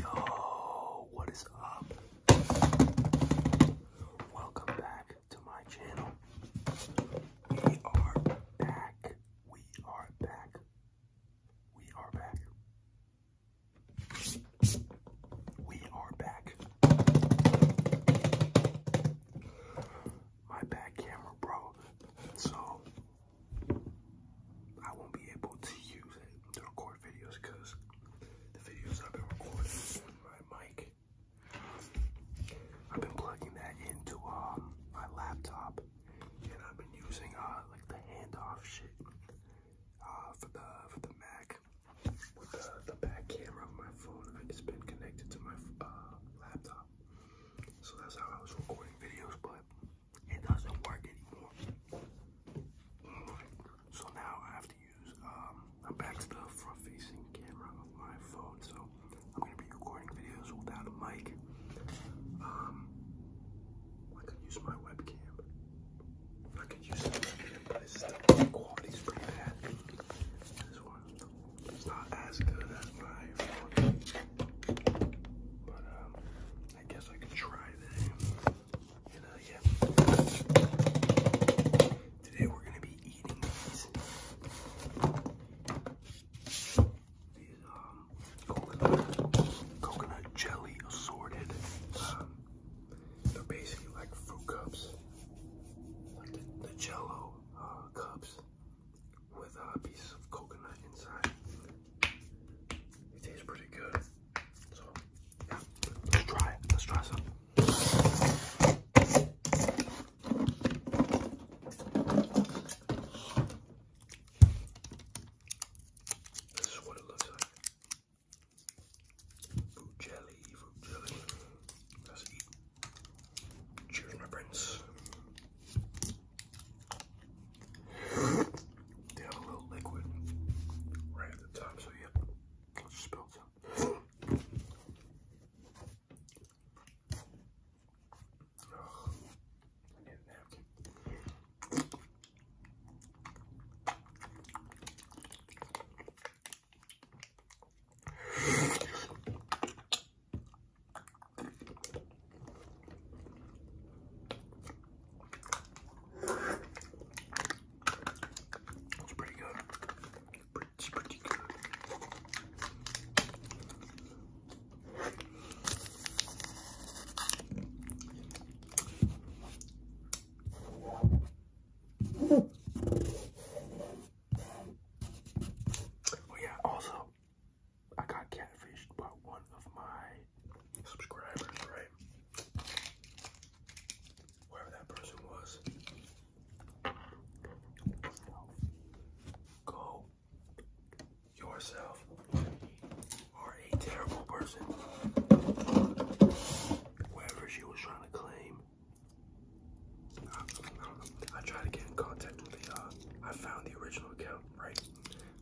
Yo, what is up? Welcome back to my channel. We are back. We are back. We are back. We are back. My back camera broke, so I won't be able to use it to record videos because the videos I've been recording my mic, I've been plugging that into um, my laptop, and I've been using uh, like the handoff shit uh, for the for the Mac with the, the back camera of my phone. It's been connected to my uh, laptop, so that's how I was recording videos, but it doesn't work anymore. So now I have to use, um, i back to front facing camera of my phone. So I'm going to be recording videos without a mic. Um, I could use my webcam. I could use the webcam, but it's the quality's pretty bad. This one not as good as my phone. But, um, I guess I could try that. Uh, Today we're gonna be eating these. Um, coconut, jelly assorted. Um, they're basically like fruit cups, like the, Jello uh, cups with a piece of coconut inside. It tastes pretty good. So, yeah, let's try it. Let's try some. This is what it looks like. Fruit jelly, fruit jelly. Let's eat. Cheers, my friends. They have a little liquid right at the top, so yeah, I'll just spill some. Oh, I need a napkin. It's pretty good. It's pretty good. Oh yeah, also I got catfished by one of my subscribers, right? Whoever that person was. Go yourself are a terrible person. Wherever she was trying to claim. I, I, to get in contact with the uh, I found the original account, right?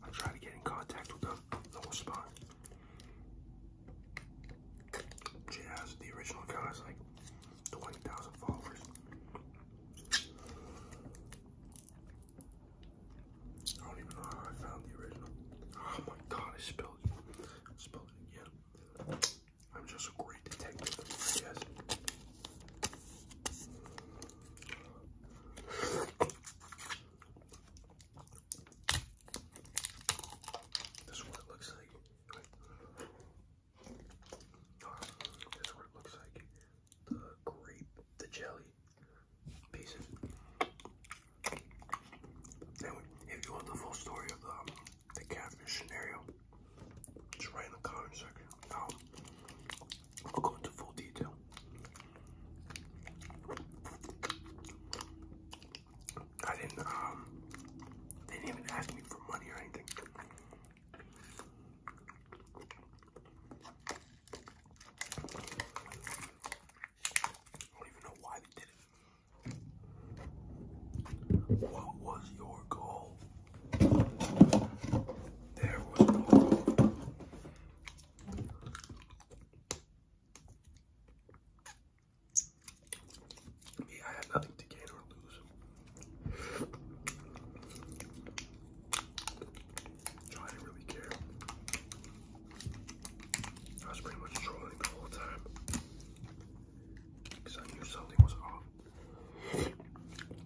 I tried to get in contact with them, no response. She has the original account has like 20,000 followers. I don't even know how I found the original. Oh my god, I spilled spilled it again. I'm just a this is what it looks like. This is what it looks like. The grape, the jelly pieces. if you want the full story of um, the catfish scenario, just write in the comment section how um, I'll go into full detail. I didn't um, they didn't even ask me for money or anything. I don't even know why they did it. What was your goal there I had nothing to gain or lose. I didn't really care. I was pretty much trolling the whole time. I something was off.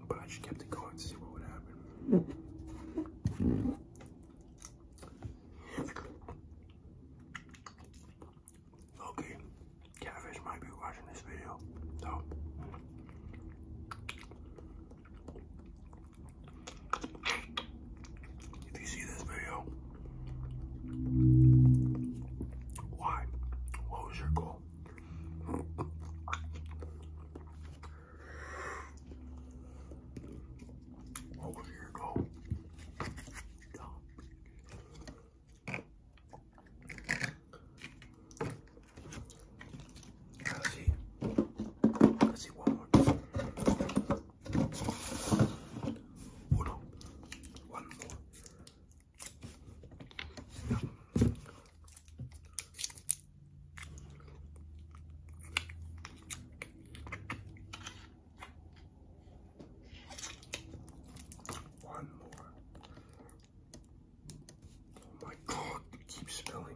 But I just kept it going to see what would happen. Okay, Catfish might be watching this video, so. If you see this video, why? What was your goal? Over here, go. Stop. Let's see. Let's see one more. Uno. One more. One more. Oh my god, it keeps spilling.